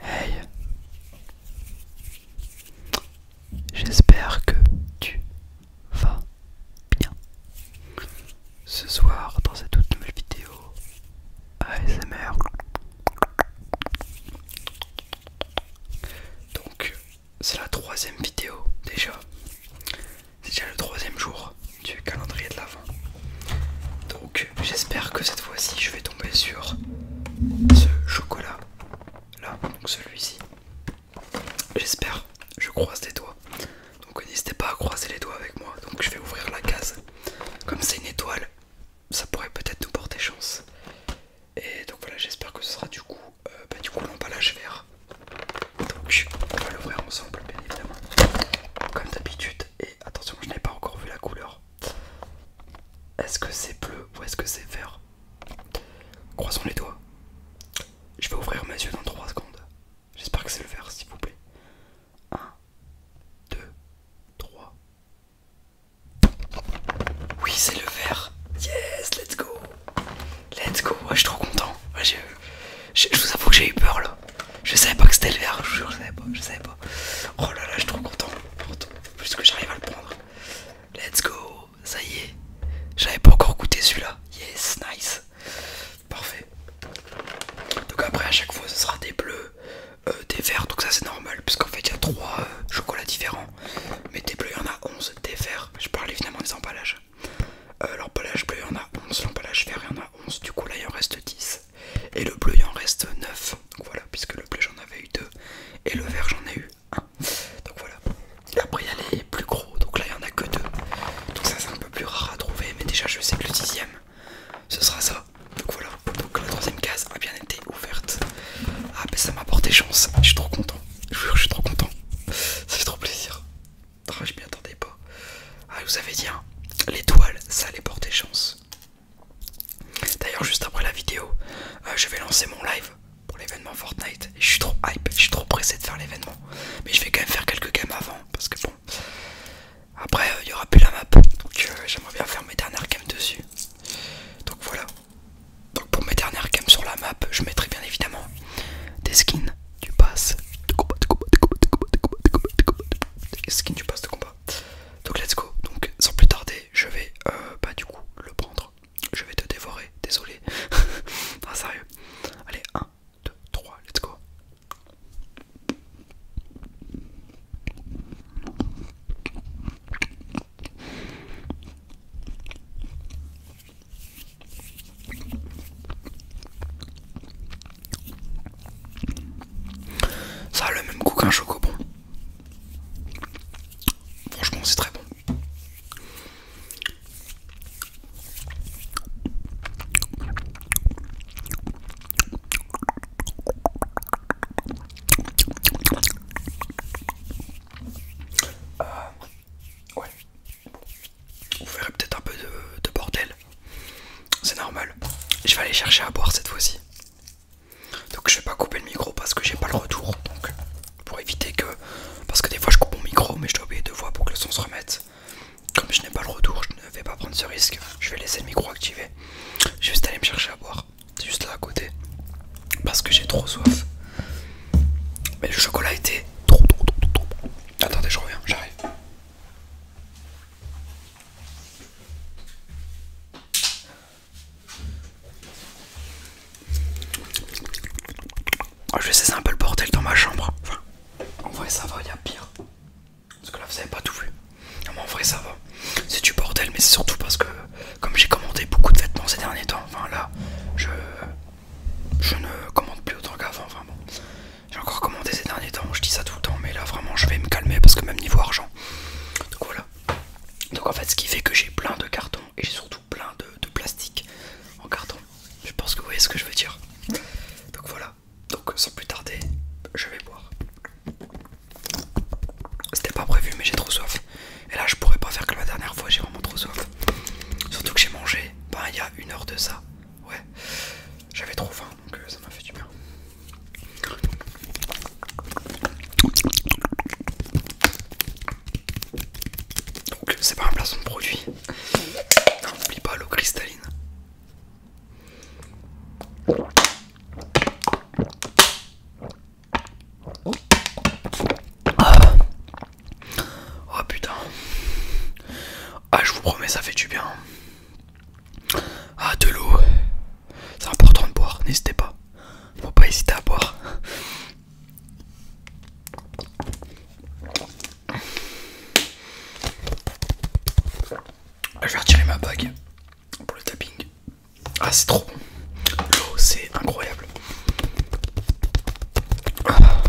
Hey J'espère que tu vas bien. Ce soir, dans cette toute nouvelle vidéo ASMR, donc c'est la troisième vidéo déjà. C'est déjà le troisième jour du calendrier de l'avant. Donc j'espère que cette fois-ci je vais tomber sur ce chocolat là, donc celui-ci. J'espère, je croise les doigts. Donc n'hésitez pas à croiser les doigts avec moi. Donc je vais ouvrir la case. Comme c'est une étoile, ça pourrait peut-être nous porter chance. Et donc voilà, j'espère que ce sera du coup, euh, bah, du coup l'emballage vert. Donc on va l'ouvrir ensemble, bien évidemment. Comme d'habitude, et attention je n'ai pas encore vu la couleur. Est-ce que c'est bleu ou est-ce que c'est vert Croisons les doigts. Je vais ouvrir mes yeux dans 3 secondes. J'espère que c'est le vert s'il vous plaît. 1, 2, 3. Oui c'est le vert. Yes, let's go. Let's go, je suis trop content. je, vous avoue que j'ai eu peur là. Je savais pas que c'était le vert, je vous jure, je savais je savais pas. Oh là là, je suis trop content. Puisque que j'arrive à le prendre. Let's go, ça y est. J'avais pas encore goûté celui-là. Yes, nice. Parfait. Donc après, à chaque fois, ce sera des bleus, euh, des verts. Donc ça, c'est normal, puisqu'en fait, il y a trois euh, chocolats différents. Mais des bleus, il y en a 11. Des verts, je parle évidemment des emballages. Euh, l'emballage bleu, il y en a 11. L'emballage vert, il y en a 11. Du coup, là, il en reste 10 et le bleu il en reste 9 donc voilà puisque le bleu j'en avais eu 2 et le vert j'en ai eu 1 donc voilà La après il y a les plus gros donc là il y en a que 2 donc ça c'est un peu plus rare à trouver mais déjà je sais que le dixième ce sera ça donc voilà donc la troisième case a bien été ouverte ah mais ça m'a porté chance je suis trop content je, je suis trop content ça fait trop plaisir ah, je m'y attendais ah, vous avez dit, hein, l'étoile, ça allait porter chance. D'ailleurs, juste après la vidéo, euh, je vais lancer mon live pour l'événement Fortnite. Et je suis trop hype, je suis trop pressé de faire l'événement. Mais je vais quand même faire quelques games avant, parce que bon, après, euh, il n'y aura plus la map. Donc, euh, j'aimerais bien faire mes dernières games dessus. Donc, voilà. Donc pour mes dernières games sur la map, je mettrai bien évidemment des skins, du pass, de combat, de combat, de combat, de combat, de combat, de combat, de combat. Skin du pass de combat. Donc let's go. Donc sans plus tarder, je vais euh, bah du coup le prendre. Je vais te dévorer, désolé. non sérieux. Allez, 1, 2, 3, let's go. Ça a le même goût qu'un bon. Franchement, c'est très bon. Euh, vous verrez peut-être un peu de, bordel. C'est normal. Je vais aller chercher à boire cette fois-ci. Donc je vais pas couper le micro parce que j'ai pas le retour. Donc pour éviter que... Parce que des fois je coupe mon micro mais je dois oublier deux fois pour que le son se remette. Comme je n'ai pas le retour, je ne vais pas prendre ce risque. Je vais laisser le micro activé. Je vais juste aller me chercher à boire. C'est juste là à côté. Parce que j'ai trop soif. Mais le chocolat était trop, trop, trop, trop. Attendez, je reviens, j'arrive. Oh, je vais cesser un peu le bordel dans ma chambre. Enfin, en vrai, ça va, il y a pire. Parce que là, vous avez pas tout vu. en vrai, ça va. C'est du bordel, mais c'est surtout parce que, comme j'ai commandé beaucoup de vêtements ces derniers temps, enfin là, je, je ne commande plus autant qu'avant. Enfin bon, j'ai encore commandé ces derniers temps, je dis ça tout le temps, mais là vraiment je vais me calmer parce que même niveau argent. Donc voilà. Donc en fait ce qui fait que j'ai plein de cartons et j'ai surtout plein de, plastique en carton. Je pense que vous voyez ce que je veux dire. Donc voilà. Donc sans plus tarder, je vais boire. C'était pas prévu mais j'ai trop soif. Et là je pourrais pas faire que la dernière fois j'ai vraiment trop soif. Surtout que j'ai mangé, ben, il y a une heure de ça. Ouais, j'avais trop faim donc euh, ça m'a fait du bien. Donc c'est pas un placement de produit. N'oublie pas l'eau cristalline. Oh putain. Ah je vous promets ça fait du bien. Ah de l'eau. C'est important de boire, n'hésitez pas. Faut pas hésiter à boire. Ah, je vais retirer ma bague pour le tapping. Ah c'est trop L'eau c'est incroyable. Ah.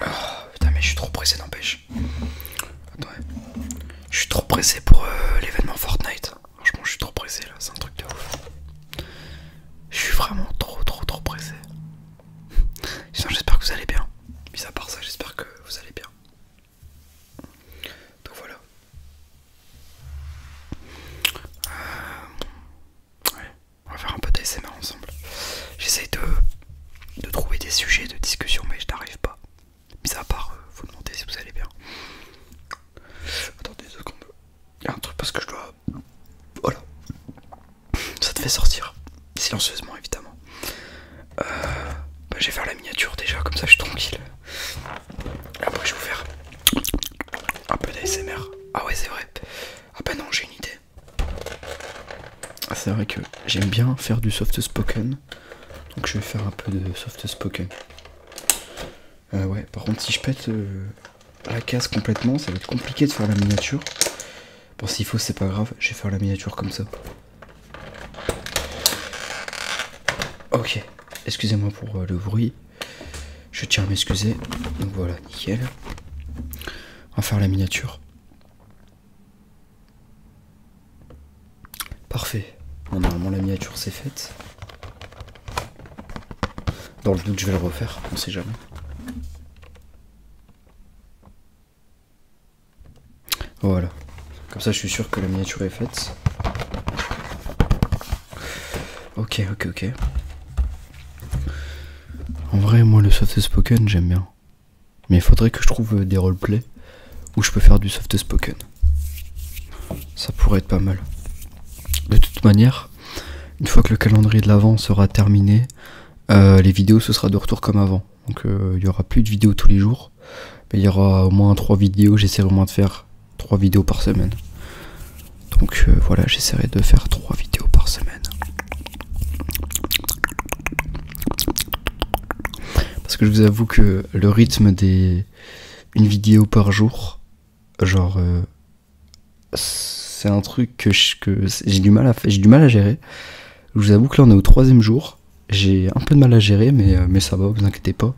Ah, putain mais je suis trop pressé n'empêche. Attends, je suis trop pressé pour euh, l'événement Fortnite. Franchement je suis trop pressé là, c'est un truc de ouf. Je suis vraiment trop trop trop pressé. Sinon j'espère que vous allez bien. Mis à part ça, j'espère que vous allez bien. Donc voilà. Euh, on va faire un peu d'ASMR ensemble. J'essaie de, de trouver des sujets de discussion mais je n'arrive pas. Mis à part euh, vous demander si vous allez bien. Attendez deux secondes. Il y a un truc parce que je dois... Voilà ça te fait sortir silencieusement évidemment euh, bah, je vais faire la miniature déjà comme ça je suis tranquille après je vais vous faire un peu d'ASMR ah ouais c'est vrai ah bah non j'ai une idée c'est vrai que j'aime bien faire du soft spoken donc je vais faire un peu de soft spoken euh, ouais par contre si je pète euh, la case complètement ça va être compliqué de faire la miniature Bon, s'il faut, c'est pas grave, je vais faire la miniature comme ça. Ok, excusez-moi pour euh, le bruit. Je tiens à m'excuser. Donc voilà, nickel. On va faire la miniature. Parfait. normalement, la miniature c'est faite. Dans le doute, je vais le refaire, on sait jamais. Voilà. Comme ça, je suis sûr que la miniature est faite. Ok, ok, ok. En vrai, moi, le soft spoken, j'aime bien. Mais il faudrait que je trouve euh, des roleplays où je peux faire du soft spoken. Ça pourrait être pas mal. De toute manière, une fois que le calendrier de l'avant sera terminé, euh, les vidéos, ce sera de retour comme avant. Donc euh, il y aura plus de vidéos tous les jours. Mais il y aura au moins trois vidéos. J'essaierai au moins de faire trois vidéos par semaine. Donc euh, voilà, j'essaierai de faire trois vidéos par semaine. Parce que je vous avoue que le rythme des... Une vidéo par jour, genre c'est un truc que j'ai du, mal à, gérer. Je vous avoue que là on est au troisième jour. J'ai un peu de mal à gérer, mais, euh, ça va, vous inquiétez pas.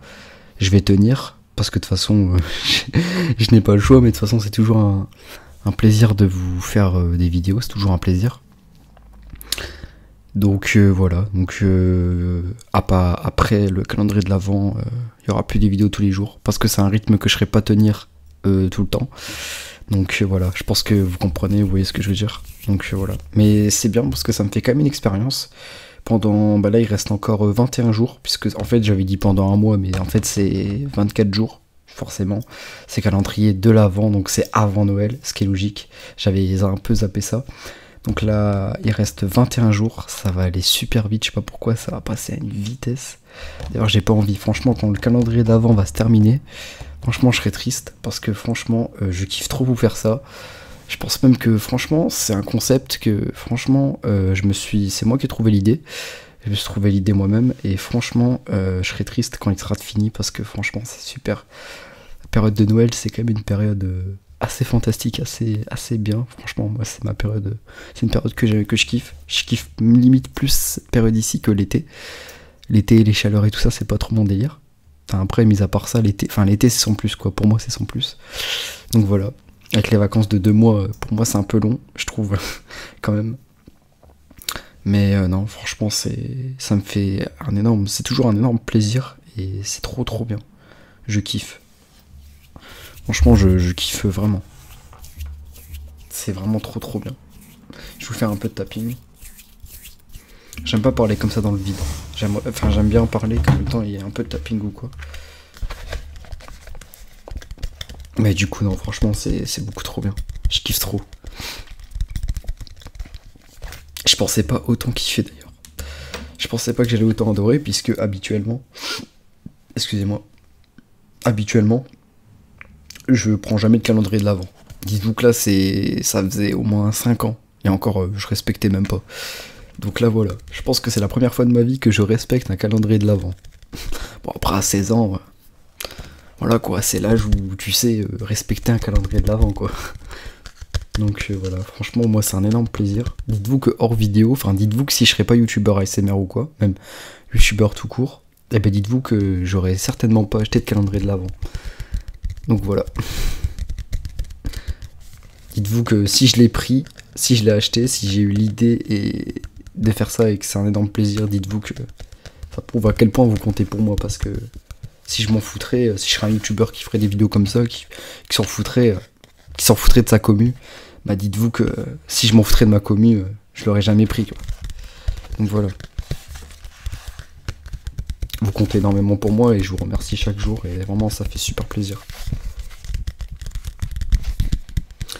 Je vais tenir, parce que de toute façon, euh, je n'ai pas le choix, mais de toute façon c'est toujours un, plaisir de vous faire euh, des vidéos, c'est toujours un plaisir. Donc voilà, donc après le calendrier de l'avant, il y aura plus des vidéos tous les jours, parce que c'est un rythme que je ne serai pas tenir euh, tout le temps. Donc euh, voilà, je pense que vous comprenez, vous voyez ce que je veux dire. Donc euh, voilà. Mais c'est bien parce que ça me fait quand même une expérience. Pendant, bah là il reste encore 21 jours, puisque en fait j'avais dit pendant un mois, mais en fait c'est 24 jours, forcément. C'est calendrier de l'avant, donc c'est avant Noël, ce qui est logique. J'avais un peu zappé ça. Donc là, il reste 21 jours, ça va aller super vite, je sais pas pourquoi, ça va passer à une vitesse. D'ailleurs, j'ai pas envie, franchement, quand le calendrier d'avant va se terminer, franchement, je serai triste parce que franchement, euh, je kiffe trop vous faire ça. Je pense même que franchement, c'est un concept que franchement, euh, je me suis, c'est moi qui ai trouvé l'idée. Je me suis trouvé l'idée moi-même et franchement, euh, je serai triste quand il sera fini parce que franchement, c'est super. La période de Noël, c'est quand même une période assez fantastique, assez, assez bien. Franchement, moi, c'est ma période c'est une période que, je kiffe. Je kiffe limite plus cette période ici que l'été. L'été, les chaleurs et tout ça, c'est pas trop mon délire. Enfin, après, mis à part ça, l'été, enfin l'été c'est sans plus quoi. Pour moi, c'est sans plus. Donc voilà. Avec les vacances de deux mois, euh, pour moi, c'est un peu long, je trouve, quand même. Mais euh, non, franchement, c'est, ça me fait un énorme, c'est toujours un énorme plaisir et c'est trop trop bien. Je kiffe. Franchement, je, kiffe vraiment. C'est vraiment trop trop bien. Je vous faire un peu de tapping. J'aime pas parler comme ça dans le vide. J'aime bien en parler quand le temps il y a un peu de tapping ou quoi. Mais du coup, non, franchement, c'est beaucoup trop bien. Je kiffe trop. Je pensais pas autant kiffer d'ailleurs. Je pensais pas que j'allais autant adorer puisque habituellement, excusez-moi, habituellement, je prends jamais de calendrier de l'avant. Dites-vous que là, c'est, ça faisait au moins 5 ans. Et encore, euh, je respectais même pas. Donc là, voilà. Je pense que c'est la première fois de ma vie que je respecte un calendrier de l'avant. Bon, après, à 16 ans, euh, voilà quoi, c'est l'âge où tu sais euh, respecter un calendrier de l'avant, quoi. Donc voilà. Euh, franchement, moi, c'est un énorme plaisir. Dites-vous que hors vidéo, enfin, dites-vous que si je serais pas youtubeur ASMR ou quoi, même youtubeur tout court, et eh ben dites-vous que j'aurais certainement pas acheté de calendrier de l'avant. Donc voilà. Dites-vous que si je l'ai pris, si je l'ai acheté, si j'ai eu l'idée de faire ça et que c'est un énorme plaisir, dites-vous que ça prouve à quel point vous comptez pour moi parce que si je m'en foutrais, si je serais un youtubeur qui ferait des vidéos comme ça, qui s'en foutrait, qui s'en foutrait de sa commu, bah dites-vous que euh, si je m'en foutrais de ma commu, euh, je l'aurais jamais pris. Donc voilà. Vous comptez énormément pour moi et je vous remercie chaque jour et vraiment ça fait super plaisir.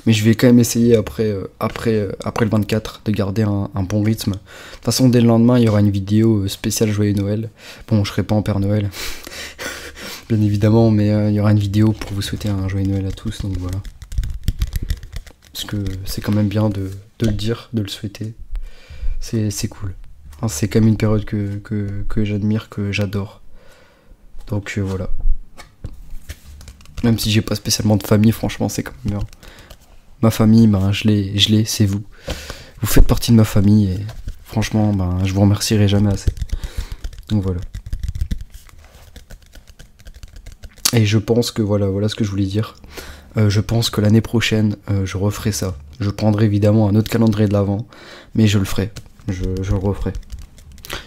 Mais je vais quand même essayer après, euh, après, après le 24 de garder un bon rythme. De toute façon, dès le lendemain, il y aura une vidéo spéciale Joyeux Noël. Bon, je serai pas en Père Noël, bien évidemment, mais euh, il y aura une vidéo pour vous souhaiter un joyeux Noël à tous, donc voilà. Parce que c'est quand même bien de, le dire, de le souhaiter. C'est cool. c'est quand même une période que j'admire, que j'adore. Donc euh, voilà. Même si j'ai pas spécialement de famille, franchement, c'est quand même bien. Ma famille, ben, je l'ai, c'est vous. Vous faites partie de ma famille et franchement, ben, je vous remercierai jamais assez. Donc voilà. Et je pense que voilà, voilà ce que je voulais dire. Euh, je pense que l'année prochaine, euh, je referai ça. Je prendrai évidemment un autre calendrier de l'avant, mais je le ferai. Je, le referai.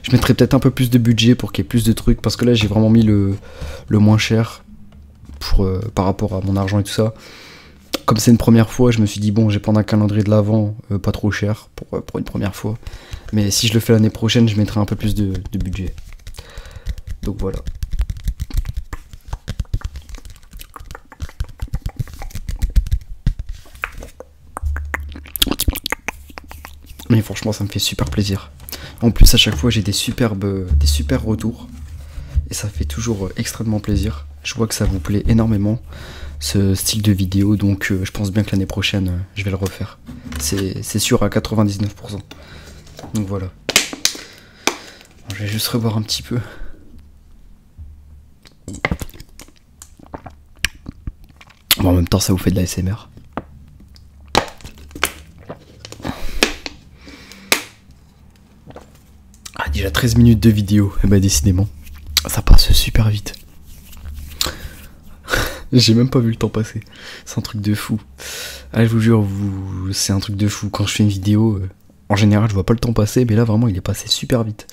Je mettrai peut-être un peu plus de budget pour qu'il y ait plus de trucs, parce que là j'ai vraiment mis le, moins cher pour, euh, par rapport à mon argent et tout ça comme c'est une première fois, je me suis dit, bon, j'ai prendre un calendrier de l'avant, euh, pas trop cher euh, pour, une première fois. Mais si je le fais l'année prochaine, je mettrai un peu plus de, de budget. Donc voilà. Mais franchement, ça me fait super plaisir. En plus, à chaque fois, j'ai des superbes, des super retours. Et ça fait toujours euh, extrêmement plaisir. Je vois que ça vous plaît énormément ce style de vidéo, donc euh, je pense bien que l'année prochaine euh, je vais le refaire. C'est sûr à 99%. Donc voilà. je vais juste revoir un petit peu. en même temps, ça vous fait de la SMR. Ah, déjà 13 minutes de vidéo. et eh bah, ben, décidément, ça passe super vite. J'ai même pas vu le temps passer. C'est un truc de fou. Ah, je vous jure, vous... c'est un truc de fou. Quand je fais une vidéo, euh, en général, je vois pas le temps passer, mais là, vraiment, il est passé super vite.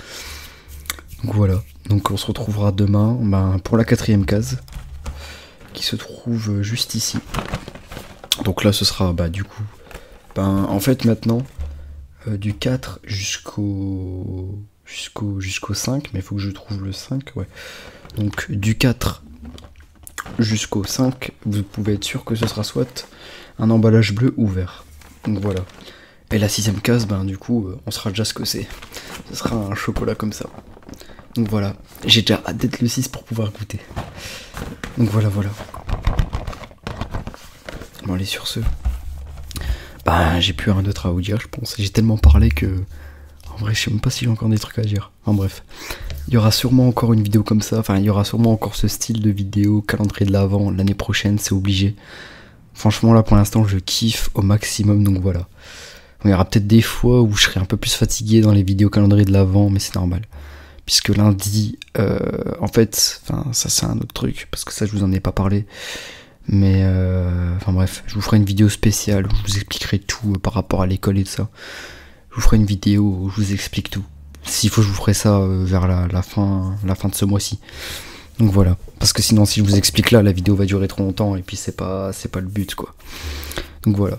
Donc voilà. Donc on se retrouvera demain ben, pour la quatrième case, qui se trouve euh, juste ici. Donc là, ce sera bah, du coup ben, en fait maintenant, euh, du 4 jusqu'au jusqu'au jusqu'au 5, mais il faut que je trouve le 5, ouais. Donc du 4 jusqu'au 5, vous pouvez être sûr que ce sera soit un emballage bleu ou vert. Donc voilà. Et la sixième case, ben du coup, euh, on sera déjà ce que c'est. Ce sera un chocolat comme ça. Donc voilà, j'ai déjà hâte d'être le 6 pour pouvoir goûter. Donc voilà, voilà. Bon allez sur ce. Bah j'ai plus rien d'autre à vous dire je pense. J'ai tellement parlé que... En vrai je sais même pas si j'ai encore des trucs à dire. En bref. Il y aura sûrement encore une vidéo comme ça. Enfin il y aura sûrement encore ce style de vidéo, calendrier de l'avant, l'année prochaine, c'est obligé. Franchement là pour l'instant je kiffe au maximum donc voilà. Il y aura peut-être des fois où je serai un peu plus fatigué dans les vidéos calendrier de l'avant mais c'est normal puisque lundi, euh, en fait, ça c'est un autre truc, parce que ça je vous en ai pas parlé, mais euh, enfin bref, je vous ferai une vidéo spéciale où je vous expliquerai tout euh, par rapport à l'école et tout ça. Je vous ferai une vidéo où je vous explique tout. S'il faut, je vous ferai ça vers la, la, fin, la fin de ce mois-ci. Donc voilà, parce que sinon si je vous explique là, la vidéo va durer trop longtemps et puis c'est pas, c'est pas le but quoi. Donc voilà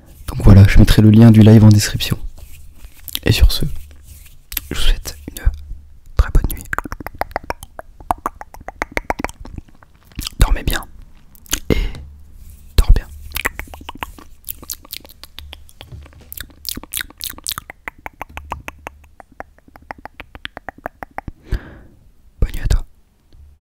Donc voilà, je mettrai le lien du live en description. Et sur ce, je vous souhaite une très bonne nuit. Dormez bien. Et dors bien. Bonne nuit à toi.